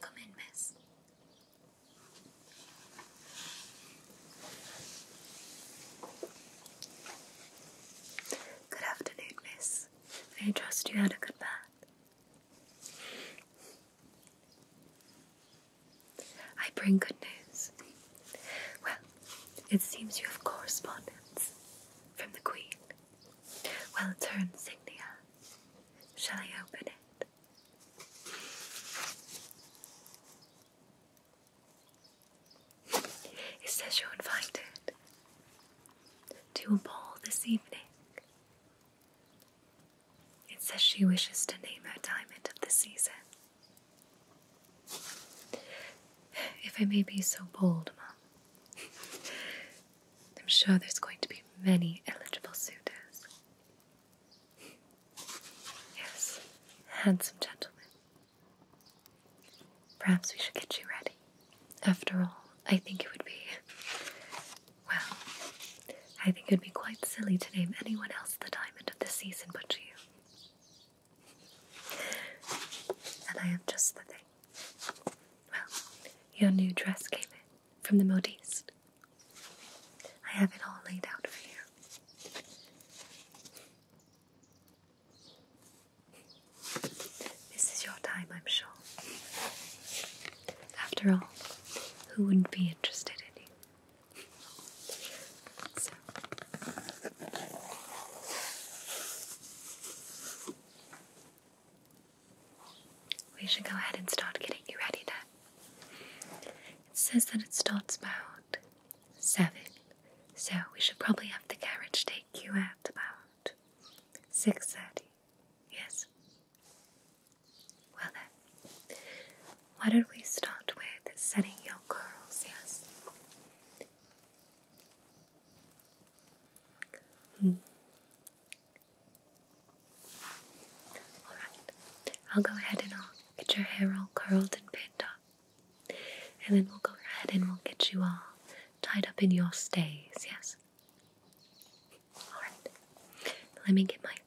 come in, miss? Good afternoon, miss. I trust you had a good bath? I bring good news. Well, it seems you have correspondence from the Queen. Well, it's Signia. Shall I open it? It says you're invited to a ball this evening it says she wishes to name her diamond of the season. If I may be so bold, Mom, I'm sure there's going to be many eligible suitors. Yes, handsome gentlemen. Perhaps we should get you ready. After all, I think it would be. Well, I think it would be quite silly to name anyone else the diamond of the season but you. And I am just the thing. Well, your new dress came in from the modiste. I have it all laid out for you. This is your time, I'm sure. After all, who wouldn't be interested in you? We should go ahead and start getting you ready then. It says that it starts about seven, so we should probably have the carriage take you at about six thirty. Yes? Well then, why don't we start with setting your curls, yes? Hmm. Alright, I'll go ahead and I'll get your hair all curled and pinned up. And then we'll go ahead and we'll get you all tied up in your stays, yes? Alright, let me get my things.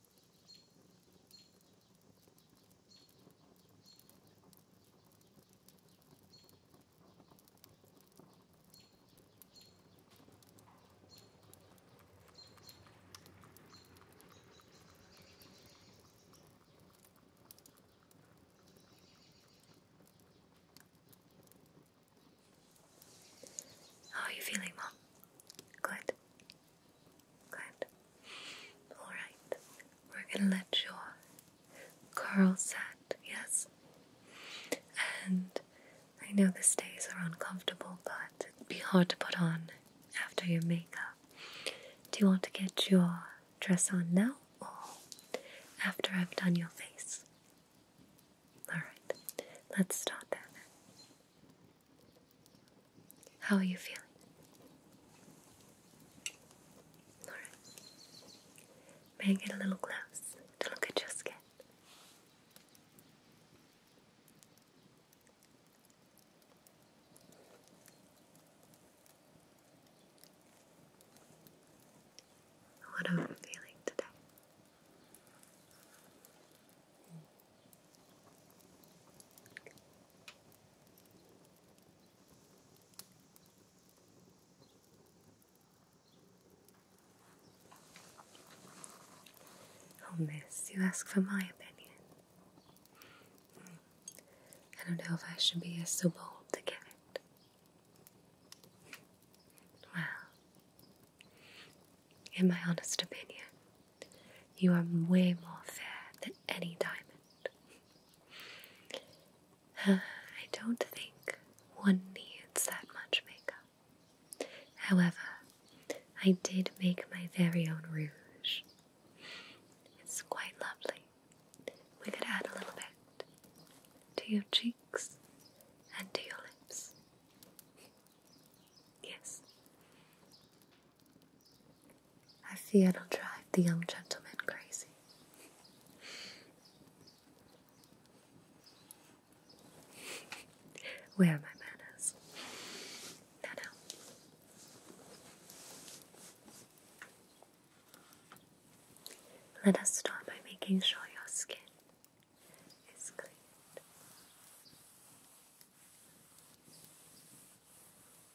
How are you feeling, Mom? Good. Good. Alright. We're gonna let your curl set, yes? And I know the stays are uncomfortable, but it'd be hard to put on after your makeup. Do you want to get your dress on now or after I've done your face? Alright, let's start then. How are you feeling? Alright. May I get a little close to look at your skin? What are you feeling today? Oh, miss, you ask for my opinion. Hmm. I don't know if I should be so bold to give it. Well, in my honest opinion, you are way more fair than any diamond. I don't think one needs that much makeup. However, I did make my very own rouge. It's quite lovely. We could add a little bit to your cheeks and to your lips. Yes. I fear it'll drive the young gentleman crazy. Where are my manners? No, no. Let us start by making sure your skin is clean.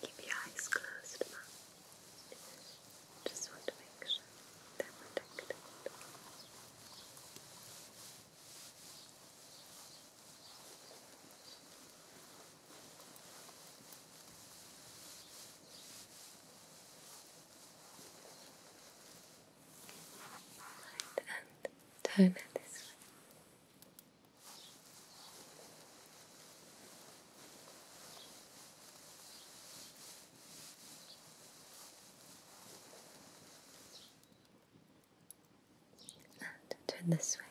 Keep your eyes closed, Mom. Just want to make sure they're protected and turn this way. And turn this way.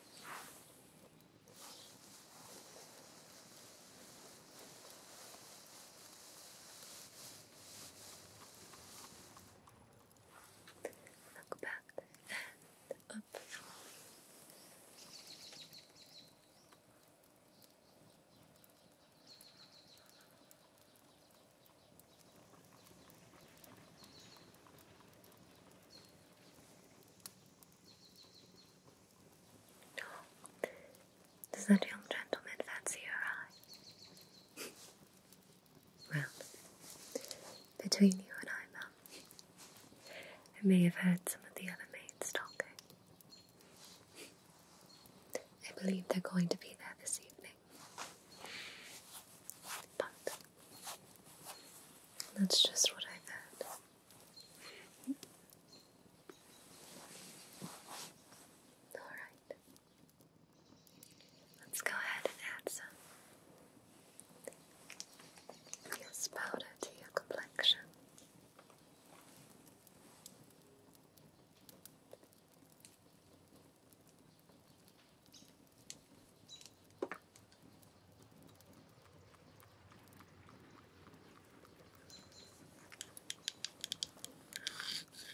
Look back and up. No. Does that young gentleman fancy her eye? Well, between you and I, Mum, I may have heard some of the other maids talking. I believe they're going to be there this evening. But that's just what I've heard. Alright. Let's go ahead and add some powder to your complexion.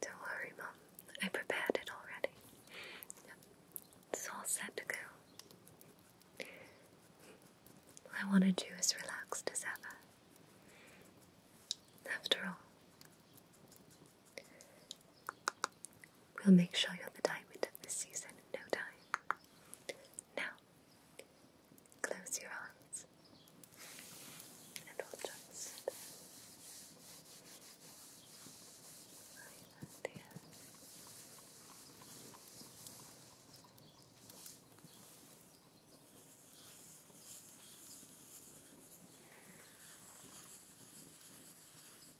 Don't worry, Mum. I prepared it already. It's all set to go. I wanted you as relaxed as ever. After all, We'll make sure you're the diamond of the season in no time. Now, close your eyes and I'll just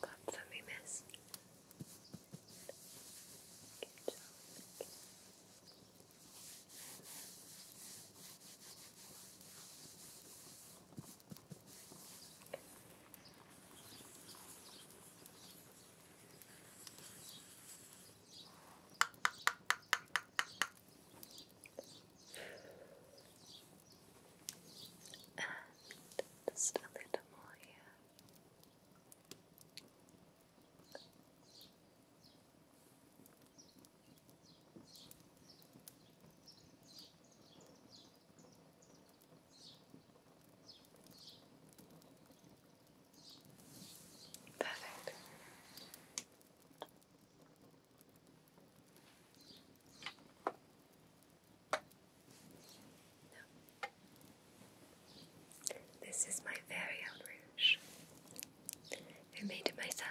Got some we missed. Good job. Good just a little more here. Perfect. This is my very own rouge. I made it myself.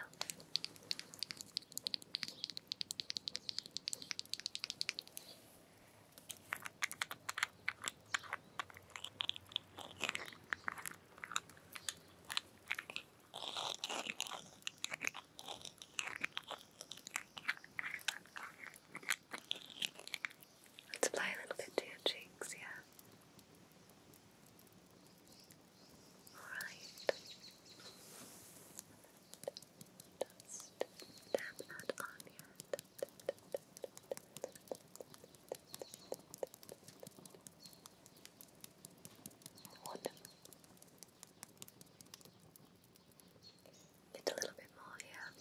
Let's apply a little bit to your cheeks, yeah. Alright. Just tap on your Wonderful. Just a little bit more here.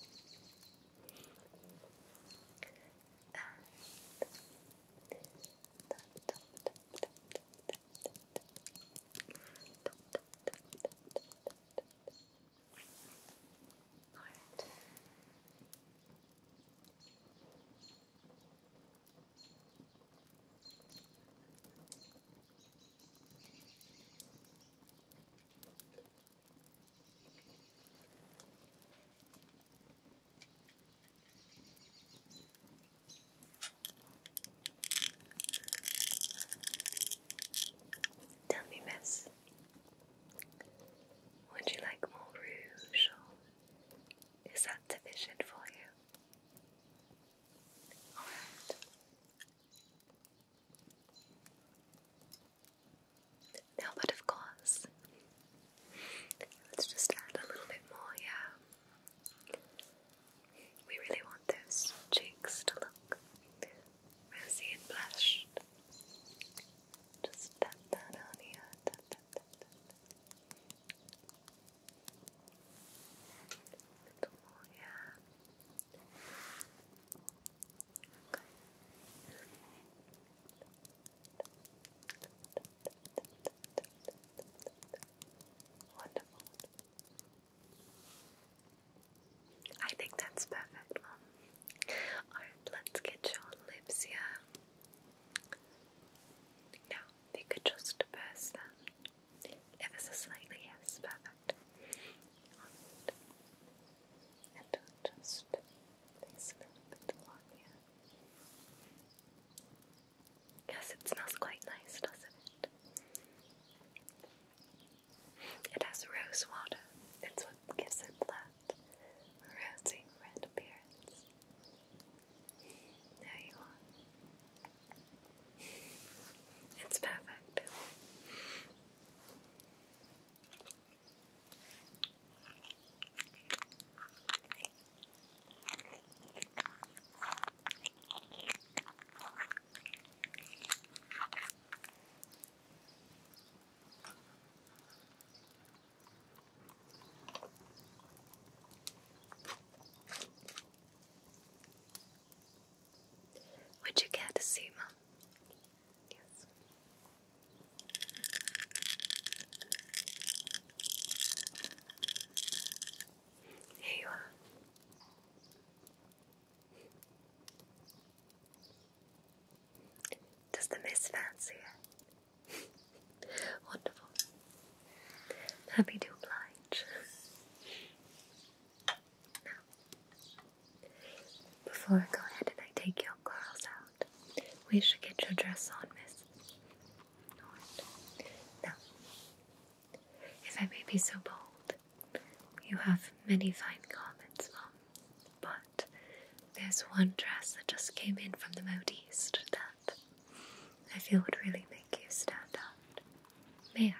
And Alright. Tell me, miss, would you like more rouge is that sufficient for you? No, but of course. Let's just add a little bit more, yeah. We really want those cheeks to look rosy and blushed. Just tap that on here. Tap, tap, tap, Wonderful. I think that's perfect, Mom. Alright, let's get your lips here. Now, they could just burst them. Ever so slightly, yes, perfect. Yes, it smells quite nice, doesn't it? It has rose water. It's what gives it that rosy red appearance. There you are. It's perfect. Would you care to see, Mum? Yes. Here you are. Does the miss fancy it? Wonderful. Happy to oblige. now, before I go ahead and I take your curls out, we should get your dress on, miss. Alright. Now, if I may be so bold, you have many fine garments, Mom, but there's one dress that just came in from the Mode that I feel would really make you stand out. May I?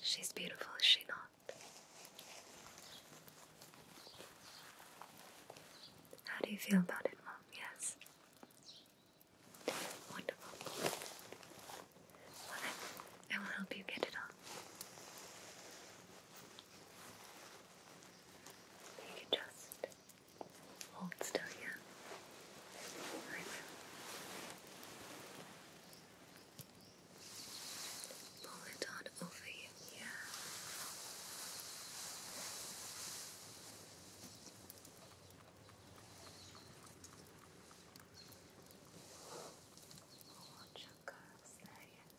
She's beautiful, is she not? How do you feel about it, Mom? Yes. Wonderful. I will help you get it on. You can just hold still, yeah? I will. Pull it on over you, yeah. Watch your curves there, yes.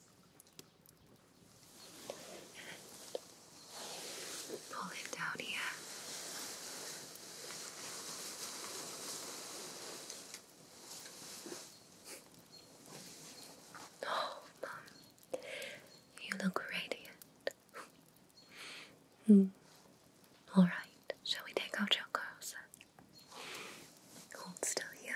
And pull it down here. Oh, Mom, you look radiant. Hmm. All right, shall we take off your clothes? Hold still here.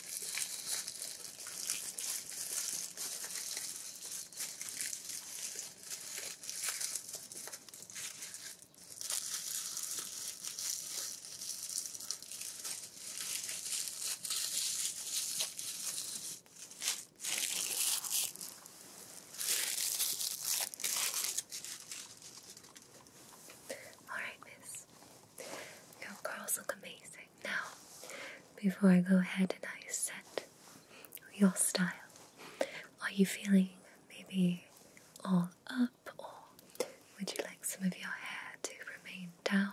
All right, miss. Your curls look amazing. Now, before I go ahead and I set your style, are you feeling maybe all up or would you like some of your hair to remain down?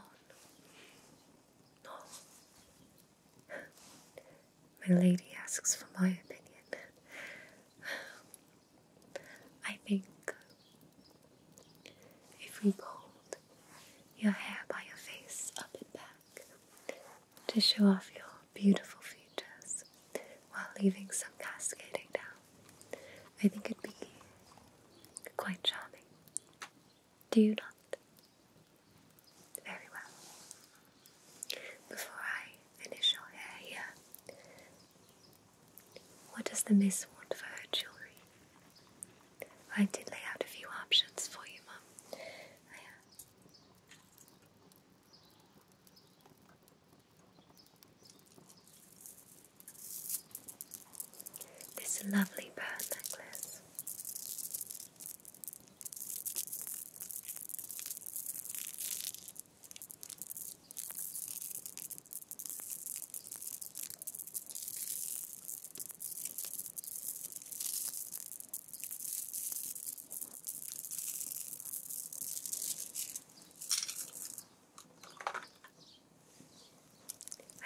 Oh. My lady asks for my opinion. I think if we pulled your hair by your face up and back to show off your beautiful features while leaving some cascading down, I think it'd be quite charming. Do you not? Very well. Before I finish your hair here, what does the miss want for her jewellery? I did lay out a few options for you, Mum. This lovely pearl necklace.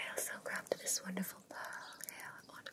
I also grabbed this wonderful pearl hair ornament.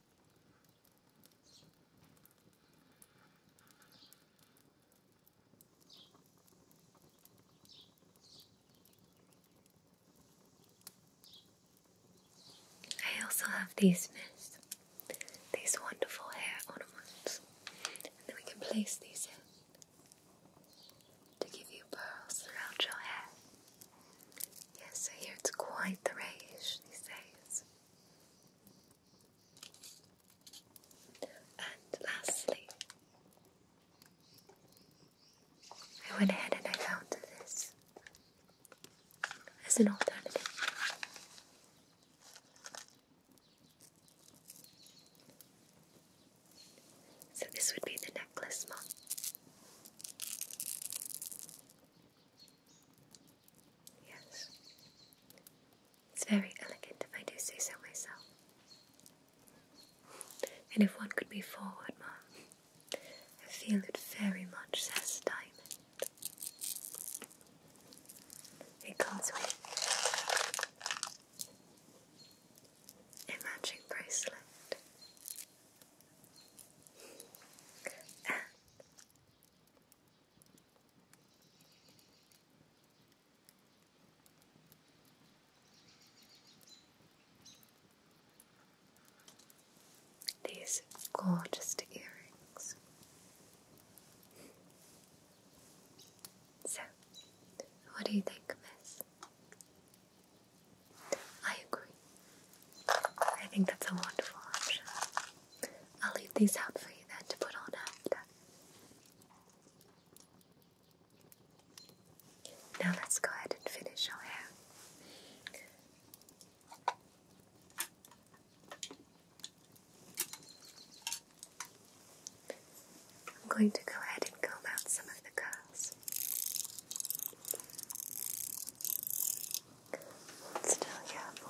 I also have these miss, these wonderful hair ornaments, and then we can place these in to give you pearls throughout your hair. Yes, I hear it's quite the rage these days. And lastly, I went ahead and I found this as an alternative. So this would be the necklace mom. Yes. It's very elegant if I do say so myself. And if one could be forward, Mom, I feel it very much says diamond. It comes with a matching bracelet. These gorgeous earrings. So, what do you think, miss? I agree. I think that's a wonderful option. I'll leave these out for you then to put on after. Now let's go ahead and finish our hair. I'm going to go ahead and comb out some of the curls. still here for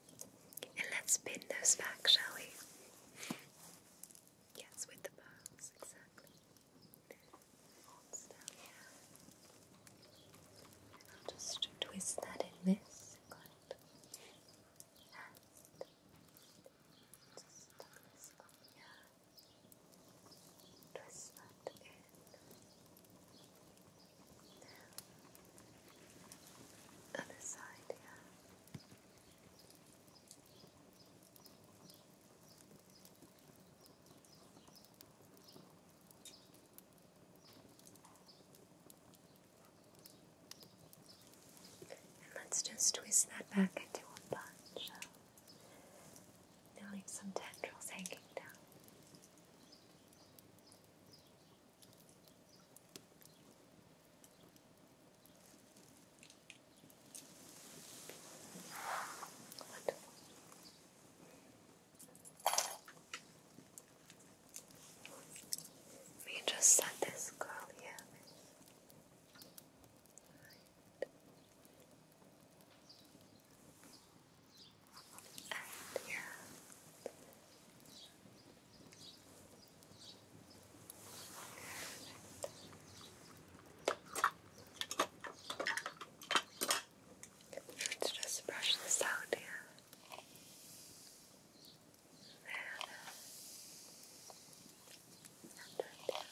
And let's pin those back, shall we? Yes, with the pearls, exactly. And I'll just twist that in this. And just tuck this on, yeah. Twist that in. other side, yeah let's just twist that back into a bunch. leave some tendrils hanging down. Wonderful. We just set this curl here. yeah. Let's just brush this out here. There. Perfect.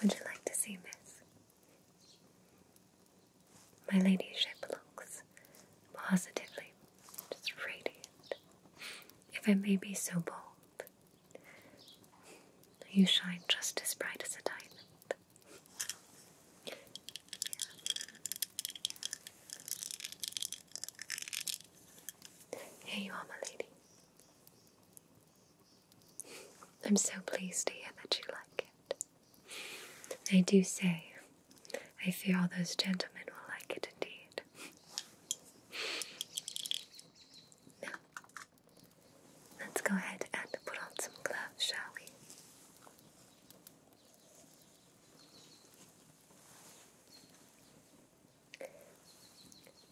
Would you like to see this? My ladyship looks positively radiant. If I may be so bold, you shine just as bright as a diamond. Here you are, my lady. I'm so pleased to hear that you like it. I do say, I fear all those gentlemen will like it indeed. Now, let's go ahead and put on some gloves, shall we?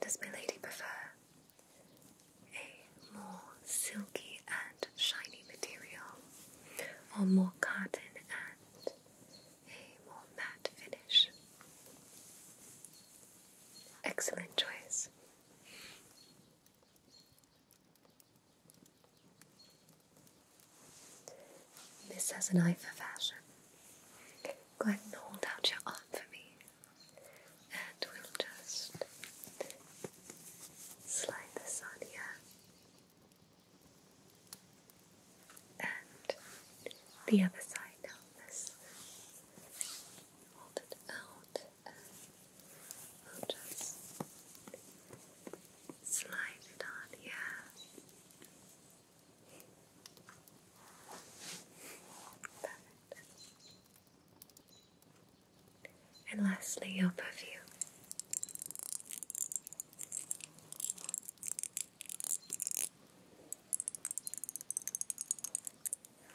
Does my lady prefer a more silky and shiny material, or more cotton and a more matte finish? Excellent choice. This has an eye for fashion. Go ahead and hold out your arm for me, and we'll just slide this on here. And the other side now. This hold it out, and we'll just slide it on here. And lastly, your perfume.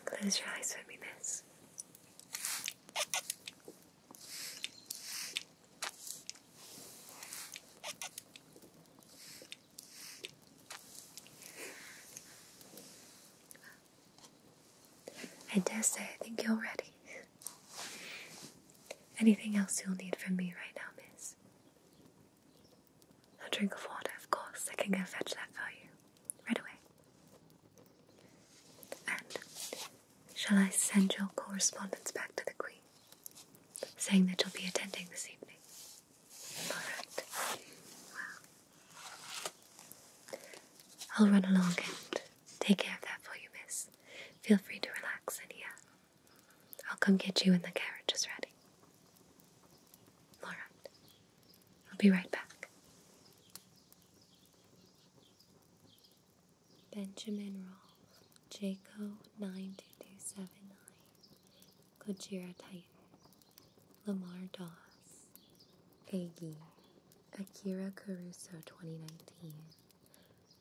Close your eyes for me, miss. I dare say I think you're ready. Anything else you'll need from me right now, miss? A drink of water, of course. I can go fetch that for you right away. And shall I send your correspondence back to the Queen? saying that you'll be attending this evening. Alright. I'll run along and take care of that for you, miss. Feel free to relax in here. I'll come get you when the carriage is ready. Alright. I'll be right back. Benjamin Rolfe. Jaco 92279, Gojira Titan, Lamar Doss, Aggie, Akira Caruso 2019,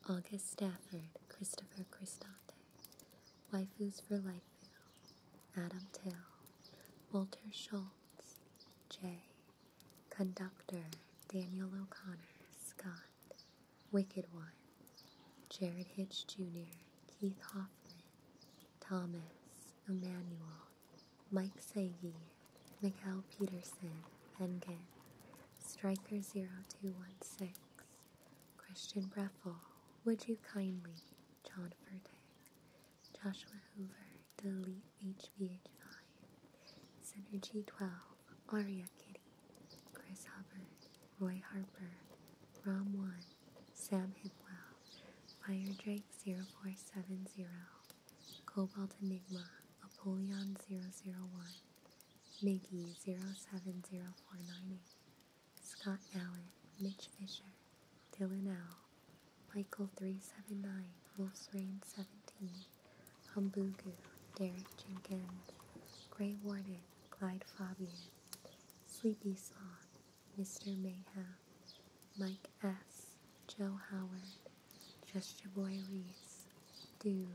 August Stafford, Christopher Cristante, Waifus for Lifeville, Adam Till, Walter Schultz, Jay, Conductor, Daniel O'Connor, Scott, Wicked One, Jared Hitch Jr., Keith Hoffman, Thomas, Emanuel, Mike Sagi, Mikhail Peterson, Engen, Striker0216, Christian Breffel, Would You Kindly, John Furtick, Joshua Hoover, Delete HVH9, Synergy12, Aria Kitty, Chris Hubbard, Roy Harper, Rom One, Sam Hidwell, Fire Drake 0470, Cobalt Enigma, Apollyon 001, Miggy 070498, Scott Allen, Mitch Fisher, Dylan L, Michael 379, Wolf's Rain 17, Humbugu, Derek Jenkins, Gray Warden, Clyde Fabian, Sleepy Song, Mr. Mayhem, Mike S., Joe Howard, Just Your Boy Reese, Dude,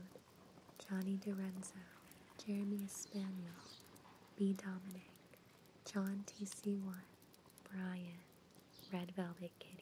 Johnny DiRenzo, Jeremy Espaniel, B. Dominic, John TC1, Brian, Red Velvet Kitty.